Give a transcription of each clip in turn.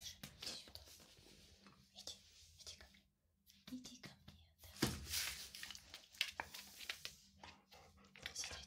Слушай, иди сюда. Иди, иди ко мне. Иди ко мне, да. Сидеть.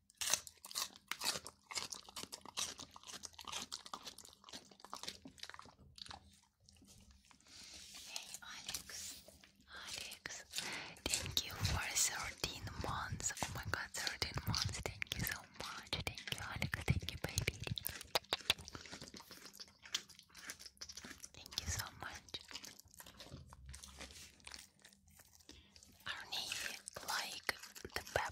Hey Alex, Alex, thank you for 13 months. Oh my god, 13 months. Thank you so much. Thank you, Alex. Thank you, baby. Thank you so much. Arnie, like the pepper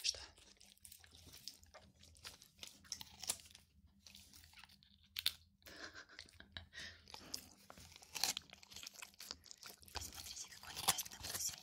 что? Посмотрите, какой интересный музей.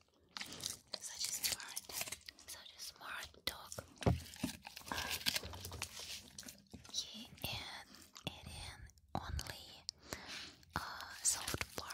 Such a smart, such a smart dog. He and it only soft part.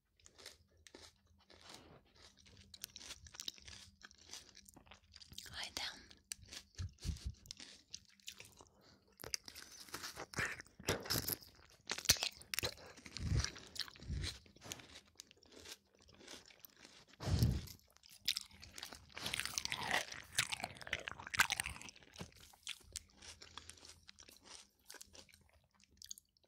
Lie down.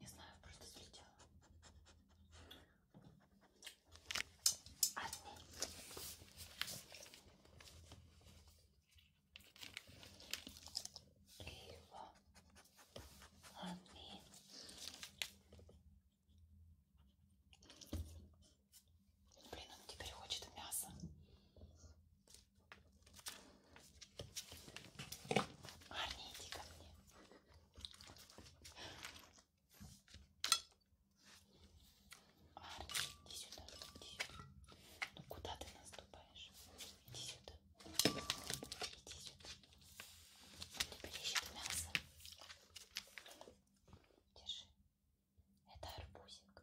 Не знаю, просто слетела. Одни его. Аминь. Блин, он теперь хочет мясо. Арни, иди ко мне. Арни, иди сюда, иди сюда. Ну куда ты наступаешь? Иди сюда. Теперь ищет мясо. Держи. Это арбузик.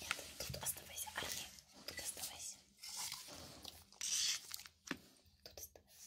Нет, тут оставайся, Арни, тут оставайся. Тут оставайся.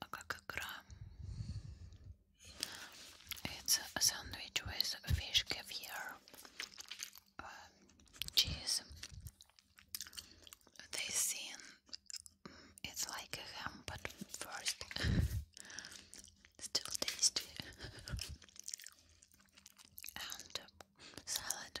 А как игра? It's a sandwich with fish caviar, um, cheese. They seem it's like a ham, but first still tasty and um, salad.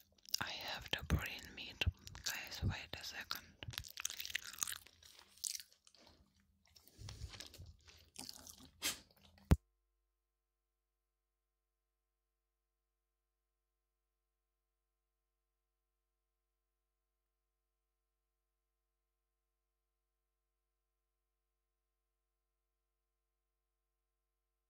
I have to brain meat. Guys, wait a second.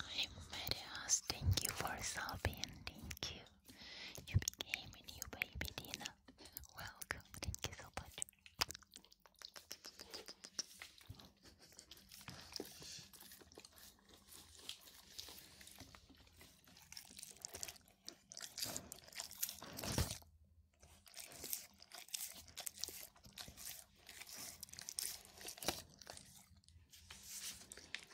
Hi Marias, thank you for subbing, thank you. You became a new baby, Dina. Welcome, thank you so much.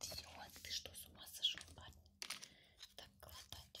Все, ты что, с ума сошел, парень? Так глотать.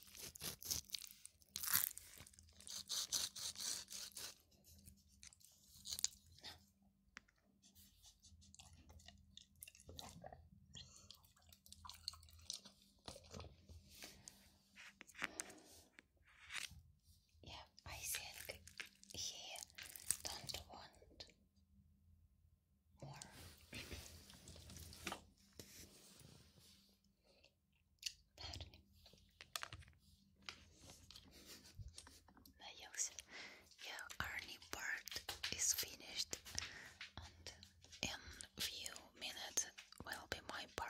Yeah, I think here don't want more. Pardon me. Nails. Your part is finished, and in few minutes will be my part.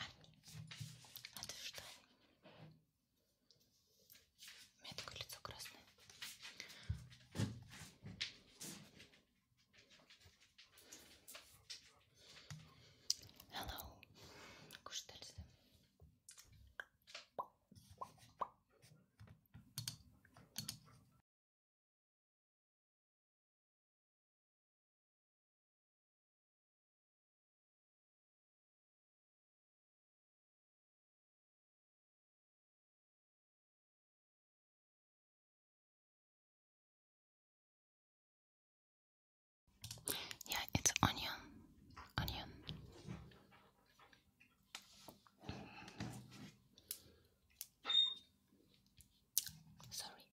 Ань, а ты что? У меня такое лицо красное. Hello. Кушать нельзя. Yeah, it's onion. Onion. Sorry.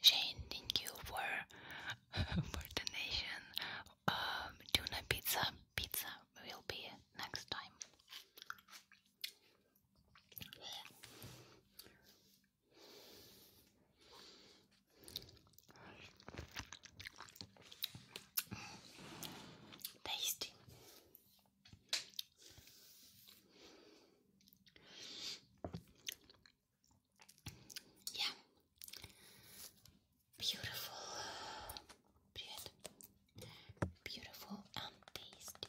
Shane, thank you for for donation. Um, tuna pizza, pizza will be next time. Tasty. Yeah. Beautiful. Beautiful and um, tasty.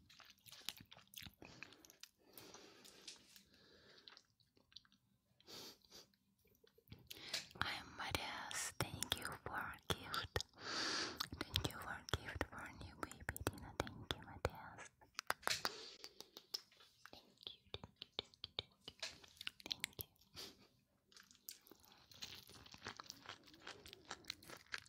I am Marias, thank you for gift. Thank you for gift for new baby Dina. Thank you, Marias. thank you, thank you, thank you. Thank you.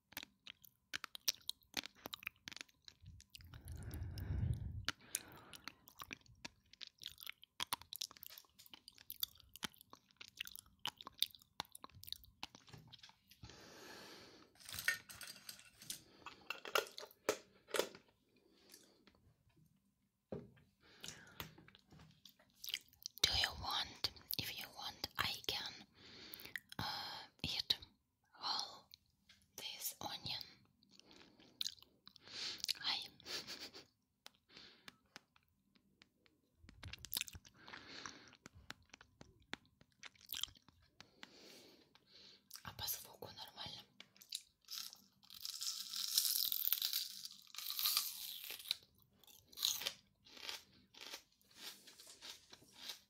Do you want? If you want, I can uh, eat all this onion. Hi. А по звуку нормально.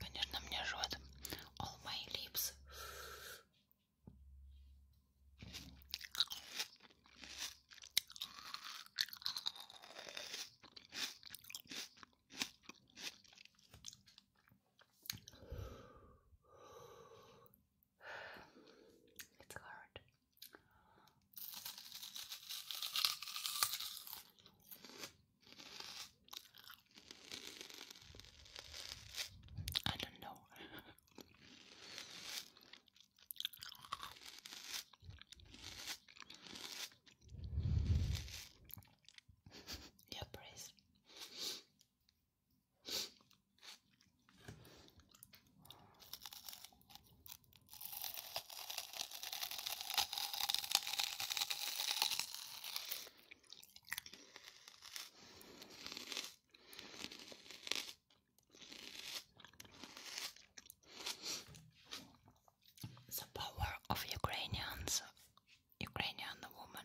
Конечно, мне жжет all my lips. It's hard. I don't know. Your praise. The power of Ukrainians, Ukrainian woman.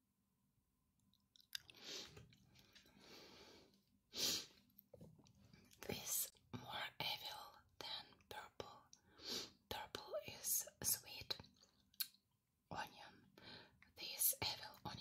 This more evil than purple. Purple is sweet onion. This evil onion.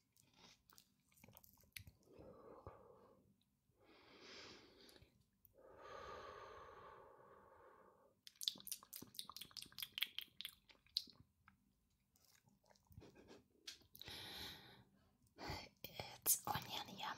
It's onion, yum.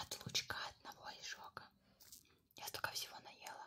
От лучка одного лишь Я столько всего наела.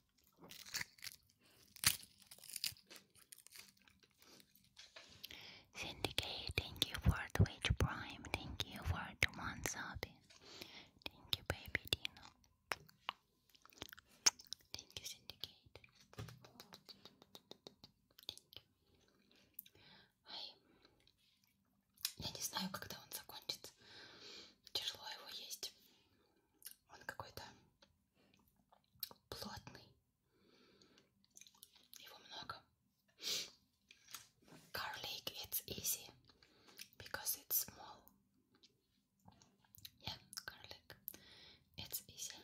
Syndicate, thank you for Twitch Prime, thank you for the one sub. Thank you, baby Dino. Thank you, Syndicate. Thank you. Ай, я не знаю, когда он закончится. Тяжело его есть. Он какой-то плотный. it's easy because it's small. Yeah, garlic, it's easy.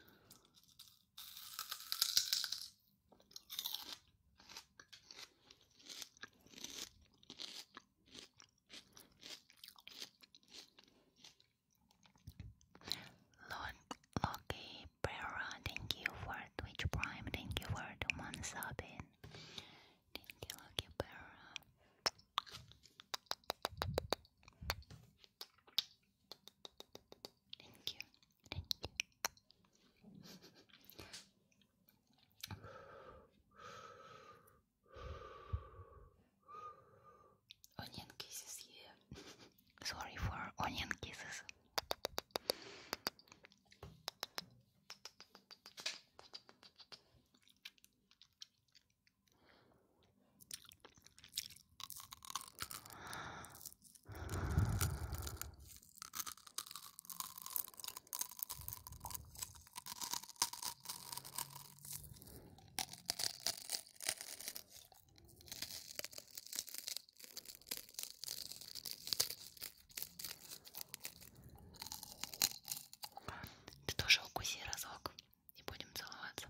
Loki Brera, thank you for Twitch Prime, thank you for the one subbing. Thank you, Loki Brera. Thank you, thank you. Onion kisses, yeah. Sorry for onion kisses. Ты тоже укуси разок и будем целоваться.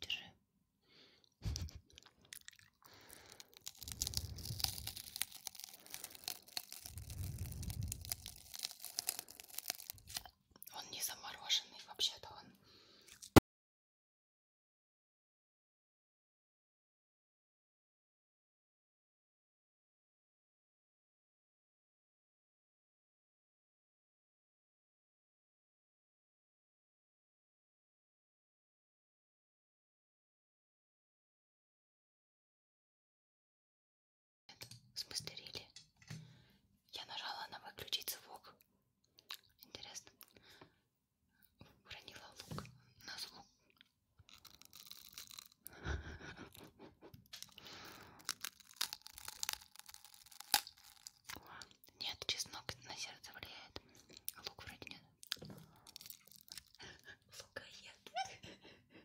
Держи. Он не замороженный, вообще-то он... В смысле, рили? Я нажала на выключить звук. Интересно. Уронила лук на звук. Нет, чеснок на сердце влияет. Лук вроде нет. Лука нет.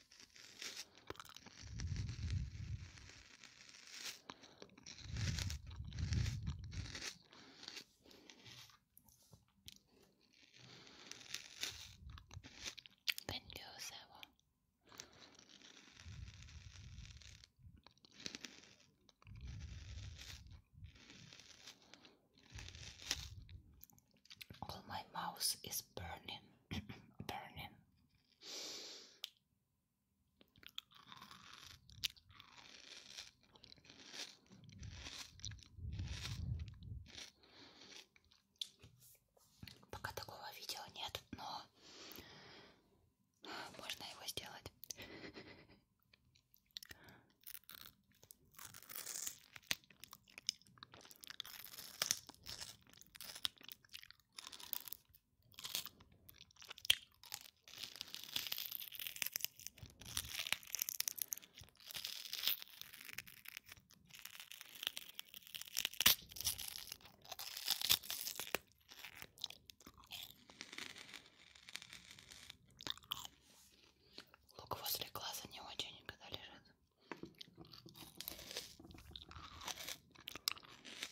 Bence özel o. All my mouth is burning, burning. Пока такого видео нет, но можно его сделать. Лук возле глаза не очень, когда лежит.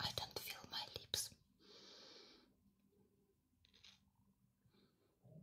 I don't feel my lips. yeah,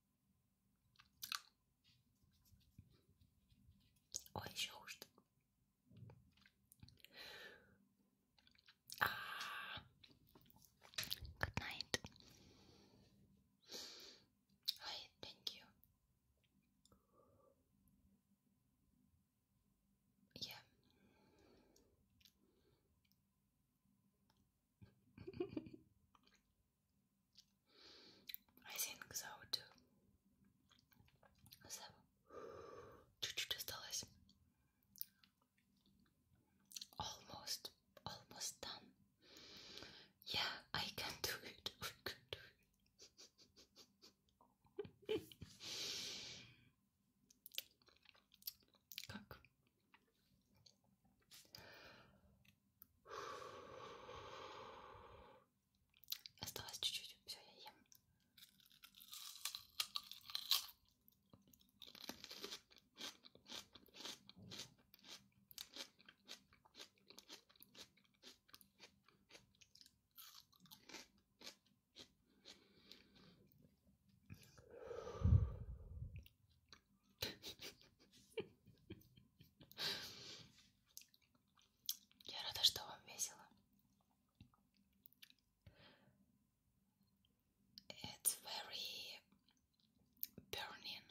Ou injusto. Ah, good night. Hi, thank you. Yeah. I think so too. So, чуть-чуть осталось. Almost, almost done. Yeah, I can do it. I Осталось чуть-чуть. Все, я ем. Я рада, что вам весело. It's very burning.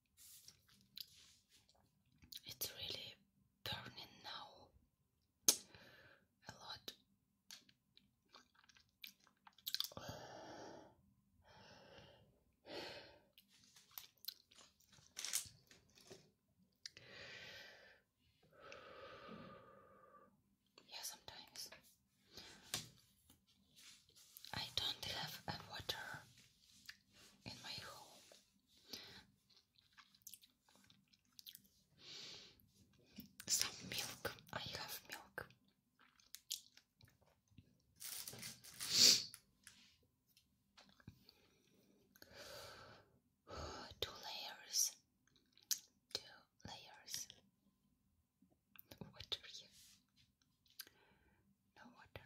It's really burning now a lot. Yeah, sometimes I don't have a water in my home. Some milk. I have milk. Two layers. Two layers. Water here. No water.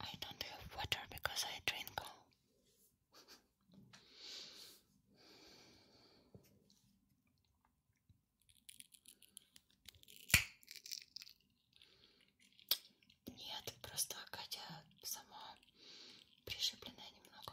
I don't have water because I drink all. Нет, просто Катя сама пришибленная немного.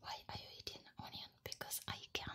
Why are you eating onion? Because I can.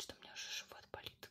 Что у меня уже живот болит.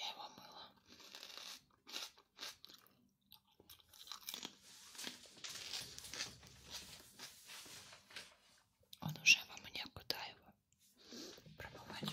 Я его мыла. Он уже во мне, куда его пробовать?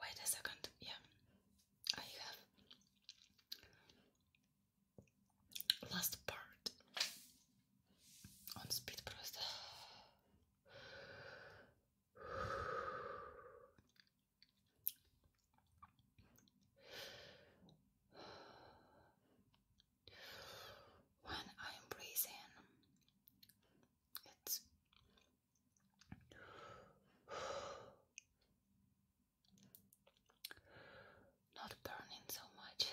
Wait a second, yeah, I have last part on speed process. When I'm breathing, it's not burning so much.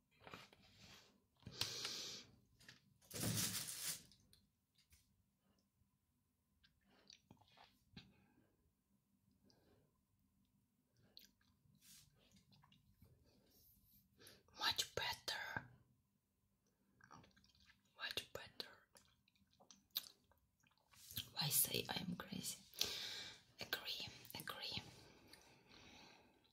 Much better, much better. Why say I am crazy? Agree, agree.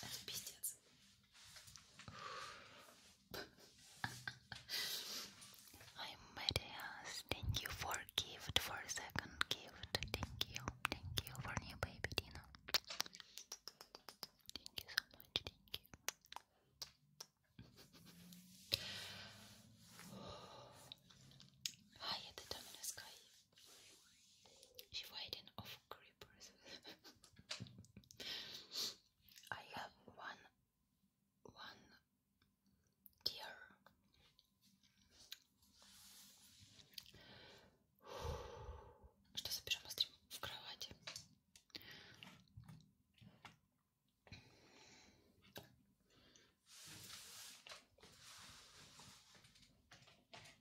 Это пиздец. Hi thank you for gift, for second gift. Thank you, thank you for new baby Dina. Thank you so much, thank you. Hi, это Domino Sky. She waiting off creepers. I have one one deer что забежим стрим в кровати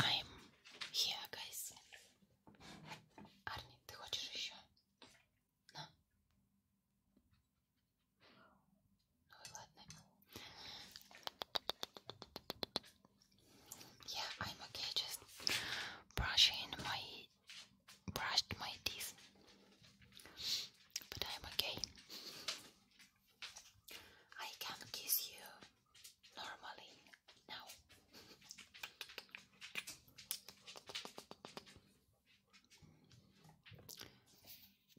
I'm here, guys. Арни, ты хочешь еще? На. Ну Yeah, I'm okay. Just brushing my brushed my teeth, but I'm okay. I can kiss you normally now.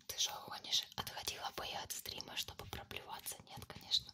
Ты же гонишь? Отходила бы я от стрима, чтобы проплеваться? Нет, конечно.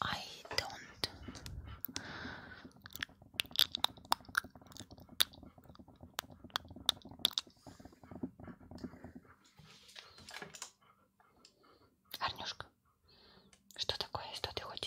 I don't. Арнюшка, что такое? Что ты хочешь?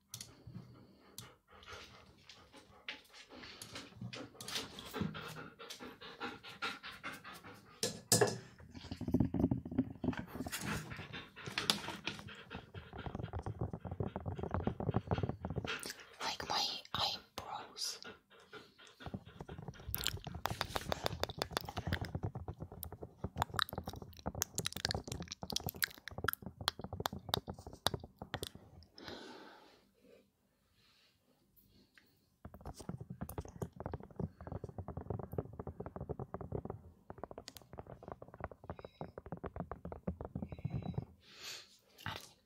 Like my eyebrows. Арни,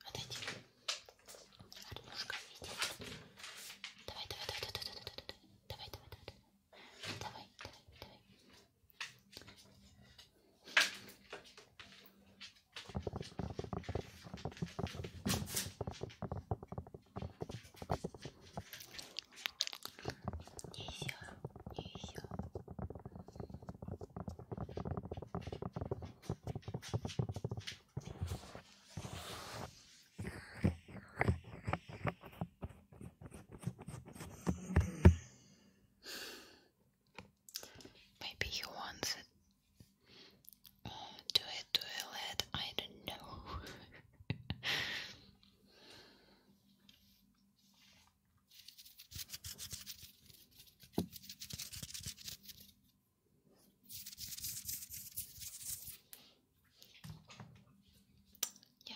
отойди. Арнюшка, иди. Давай, давай, давай, давай, давай, давай, давай, давай, давай, давай, давай. Давай, давай, давай. Нельзя, нельзя. Maybe he wants it. Uh, do it I don't know. yeah.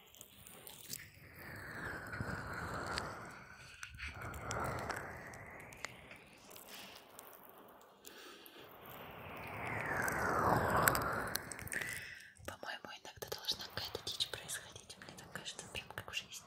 По-моему, иногда должна какая-то дичь происходить. Мне так кажется, прям как в жизни.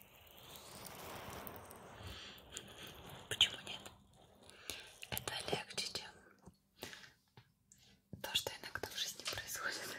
Почему нет? Это легче, чем то, что иногда в жизни происходит.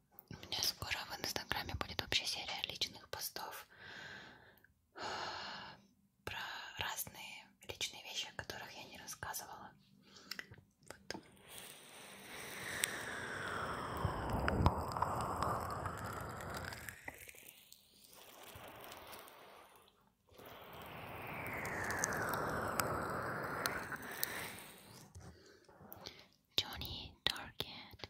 У меня скоро в инстаграме будет вообще серия личных постов про разные личные вещи, о которых я не рассказывала. Вот. Johnny Target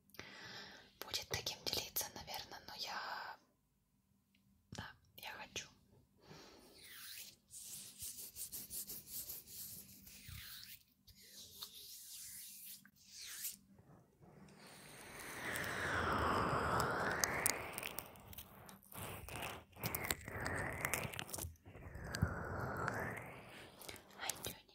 будет таким делиться, наверное, но я... Да, я хочу. Ай, Джонни.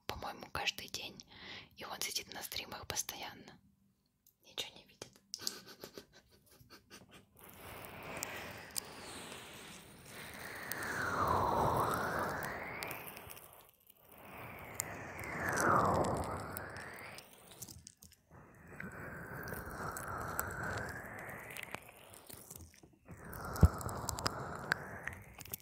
по-моему, каждый день. И он сидит на стримах постоянно. Ничего не видит.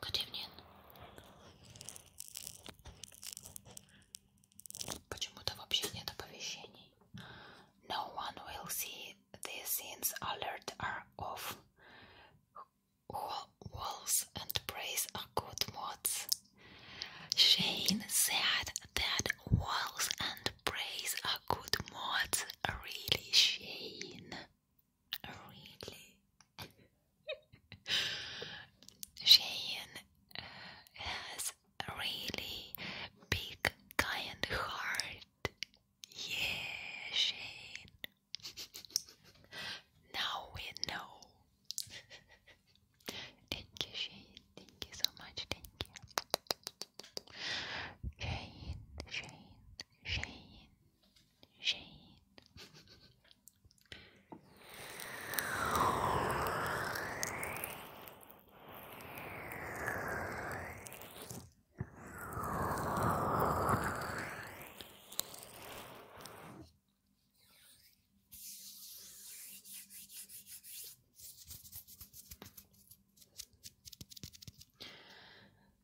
Good evening. Почему-то вообще No one will see this since alert are off. Walls and praise are good mods. Shane said that walls and praise are good mods. Really, Shane. Really? Shane uh, has a really big, giant heart. Yeah, Shane. now we know. thank you, Shane. Thank you so much. Thank you. Shane, Shane, Shane, Shane.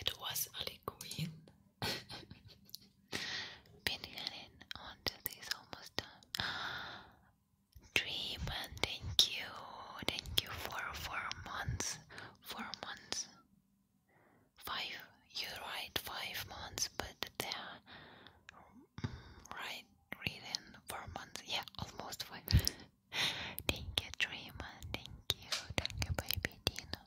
It was Ali Queen pinning onto this almost Dream and thank you, thank you for four months, four months, five. You're five months, but the right reading for months. Yeah, almost five. thank you, Dreaman. Thank you, thank you, baby Dino.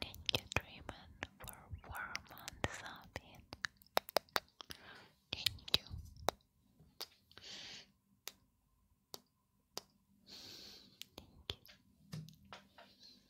Thank you, Dreaman, for four months of it. Thank you. Thank you.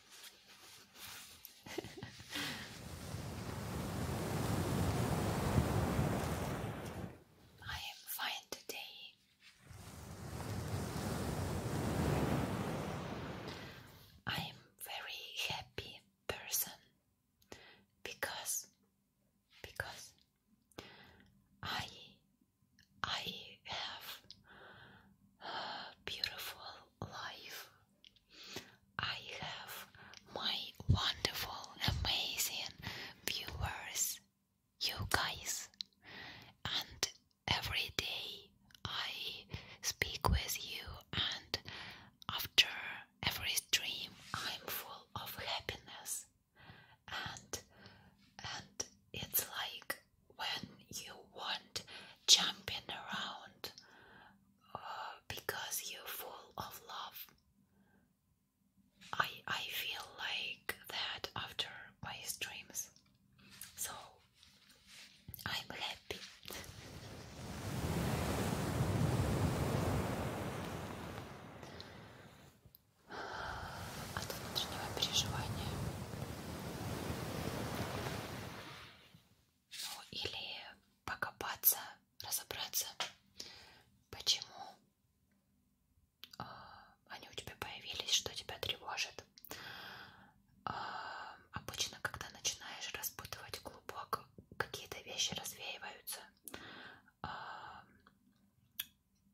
I am fine today. I am very happy person because because I I have beautiful life I have my wonderful, amazing viewers, you guys, and every day I speak with you, and after every stream, I'm full of happiness, and and it's like when you want jumping around because you're full of love. I I feel like that after my dreams, So I'm happy. От внутреннего Ну или покопаться, разобраться, почему э, они у тебя появились, что тебя тревожит. Э, обычно, когда начинаешь распутывать глубоко, какие-то вещи развеиваются. Э,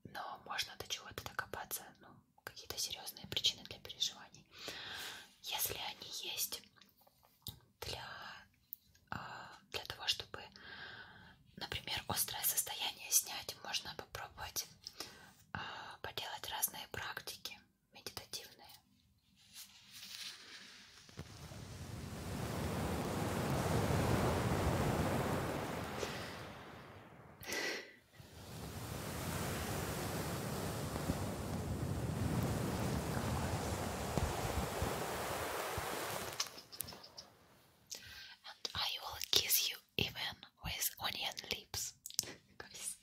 но можно до чего-то докопаться, ну, какие-то серьезные причины для переживаний. Если они есть, для, а, для того, чтобы, например, острое состояние снять, можно попробовать а, поделать разные практики медитативные. And I will kiss you even with onion lips.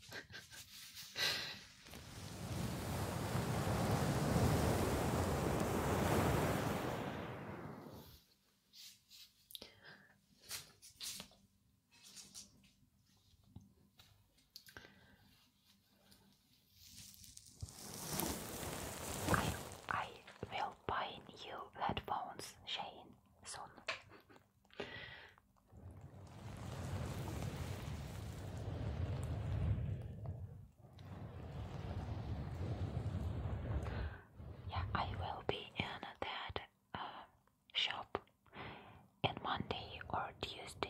I, will buy new headphones, Shane, soon. yeah, I will be in that uh, shop on Monday or Tuesday.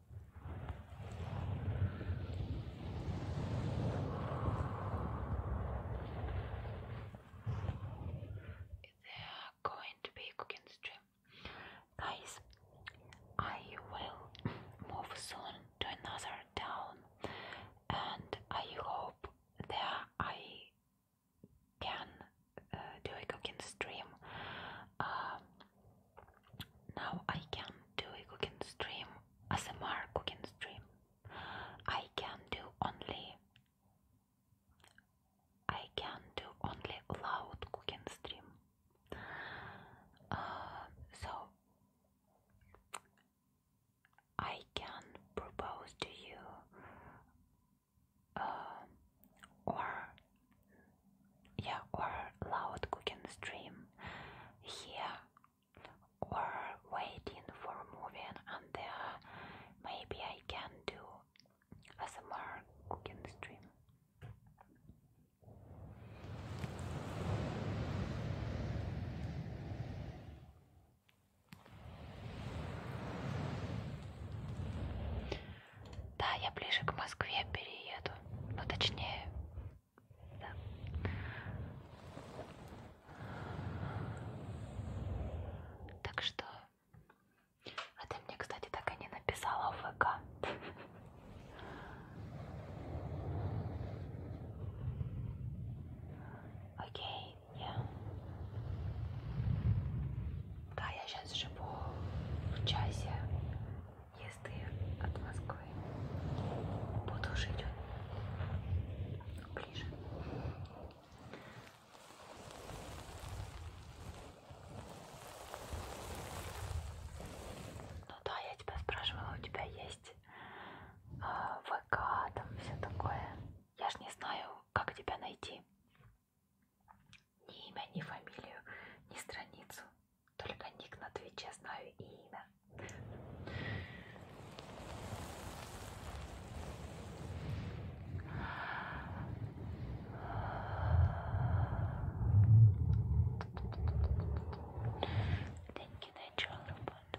there going to be cooking stream guys I will move soon to another town and I hope that I can uh, do a cooking stream um, now I can do a cooking stream, ASMR cooking stream. I can do only I can do only loud cooking stream. Uh, so I can propose to you uh, or yeah, or loud cooking stream here, or waiting for a movie, and uh, maybe I can do a small cooking stream. Да, я ближе к Москве перееду. Ну, точнее, да. Так что... А ты мне, кстати, так и не написала в ВК. Окей, я... Да, я сейчас живу в часе езды от Москвы. Буду жить ближе. Ну да, я тебя спрашивала, у тебя есть а, э, ВК, там все такое. Я ж не знаю, как тебя найти. Ни имя, ни фамилию, ни страницу. Только ник на Твиче знаю и имя. Thank you, natural robot.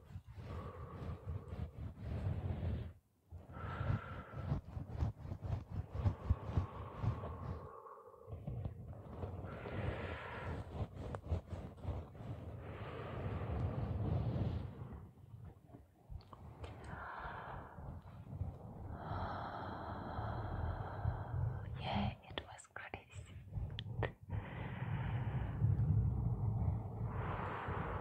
Yeah, it was crazy.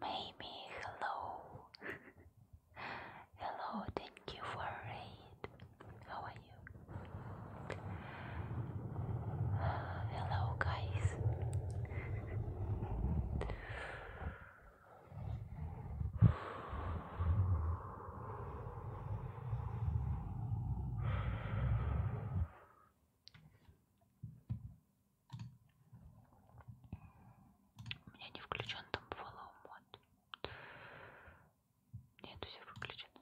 Maybe hello. hello, thank you for raid. How are you? hello guys. У меня не включен там follow мод. Нет, все выключено.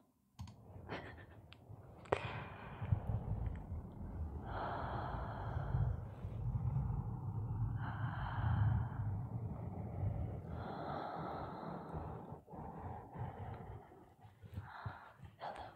Hello.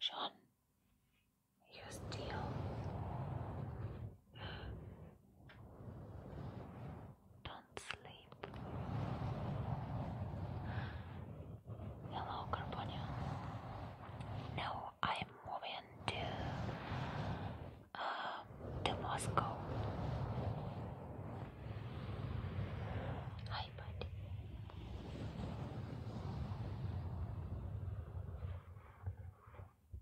John, you still don't sleep. Hello, Carbonia. Now I'm moving to uh, to Moscow. Hi, buddy.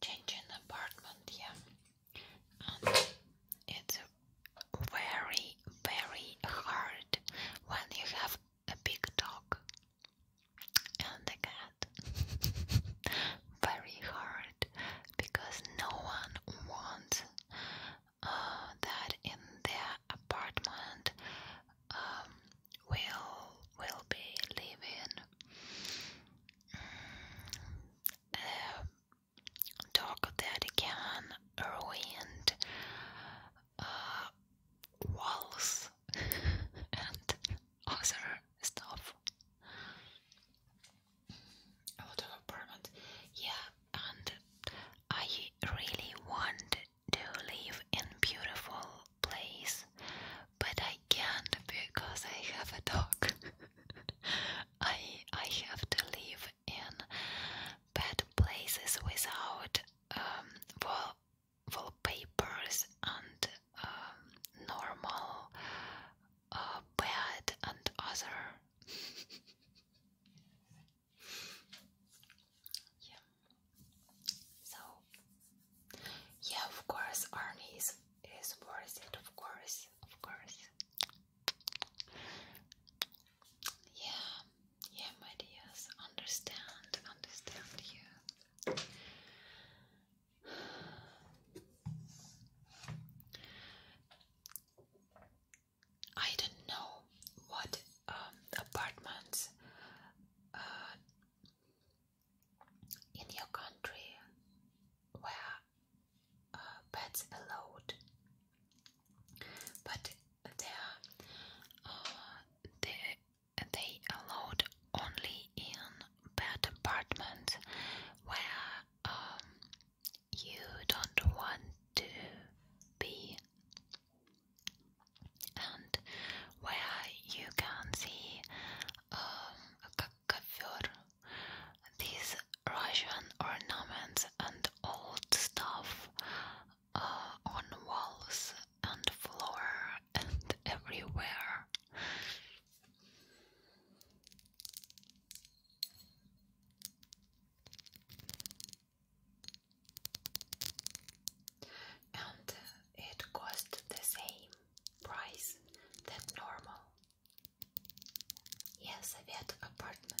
Changing apartment, yeah, and it's very, very hard when you have a big dog and a very hard because no one wants uh, that in their apartment um, will will be living mm, dog that can ruin uh, walls other stuff. A lot of apartment. Yeah, and I really want to live in beautiful place, but I can't because I have a dog. I I have to live in bad places without um, wall papers and um, normal, uh, bad, and other. yeah. So, yeah, of course, Arnie is, is worth it, of course, of course. Yeah, yeah, my dears, understand, understand Yeah. I don't know what um, apartments uh, in your country where uh, pets allowed, but there uh, they they allowed only in bad apartment where um, you don't want to be and where you can see um, these Russian ornaments and old stuff uh, on walls and floor and everywhere. And it cost the same price than normal. Yes, I had apartment.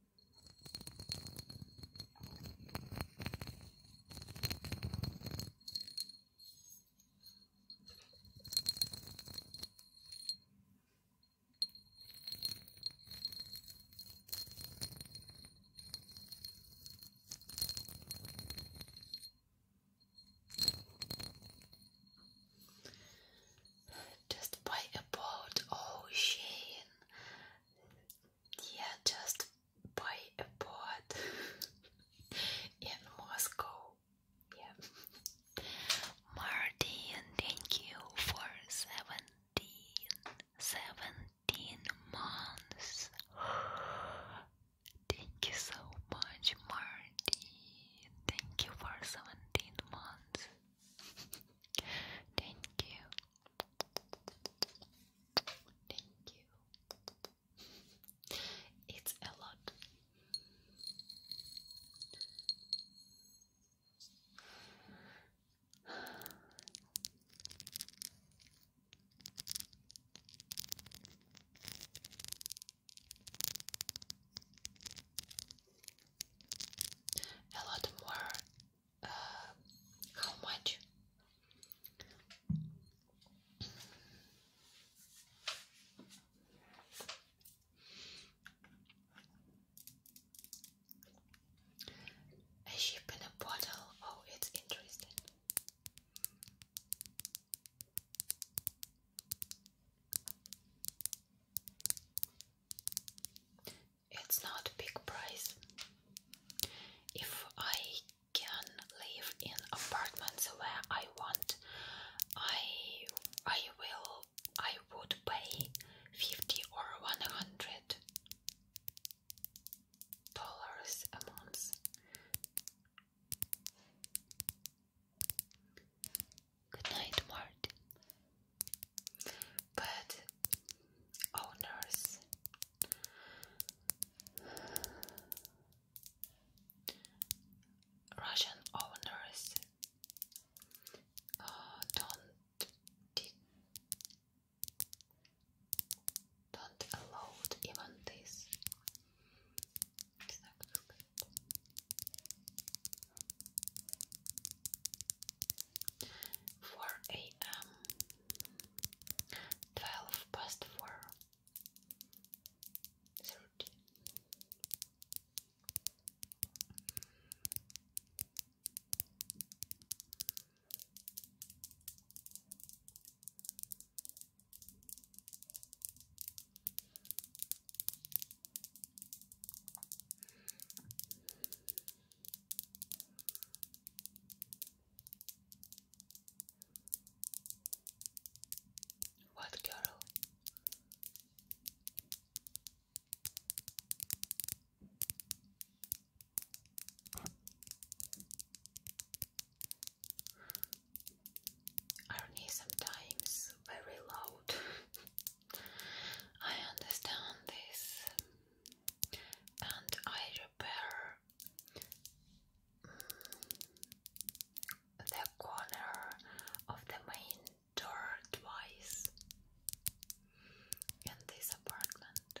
Just by about ocean oh, yeah, just buy a boat in Moscow. Yeah, Martin, thank you for seventeen, seventeen months. Thank you so much, Marty. Thank you for 17 months. Thank you. Thank you. It's a lot. A lot more uh, how much? A ship in a bottle. Oh, it's interesting it's not a big price. If I can live in apartments where I want, I I will I would pay fifty or one hundred dollars a month. Good night, Mart. But owners. Russian owners oh, don't don't allow even this. 4 a.m. 12 past 4 30 Eleven what girl? Irony sometimes very loud. I understand this and I repair the corner of the main door twice in this apartment.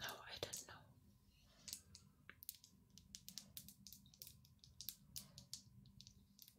No, I don't know.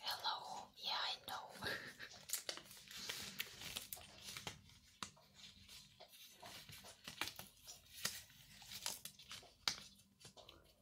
Hello, yeah, I know.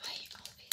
Hi, Alvid.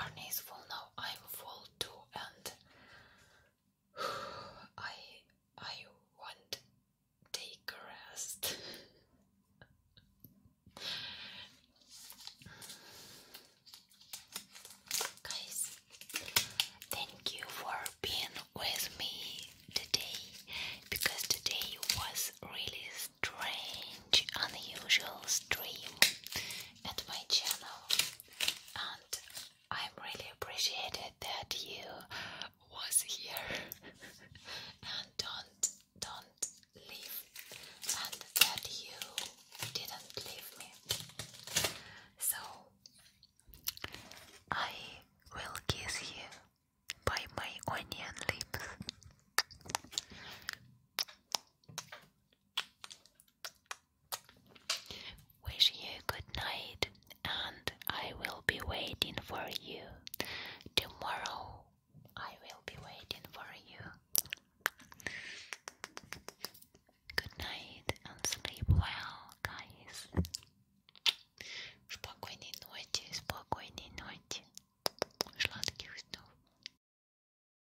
Arnie is full now. I'm full too, and I I want take a rest. Guys, thank you for being with me today because today was really strange, unusual stream at my channel, and I'm really appreciated that you was here and don't don't leave and that you didn't leave me. So I will kiss you by my onion lips. Wish you good night, and I will be waiting for you. Tomorrow, I will be waiting for you. Good night, and sleep well, guys. Спокойной ночи, спокойной ночи. Сладких снов.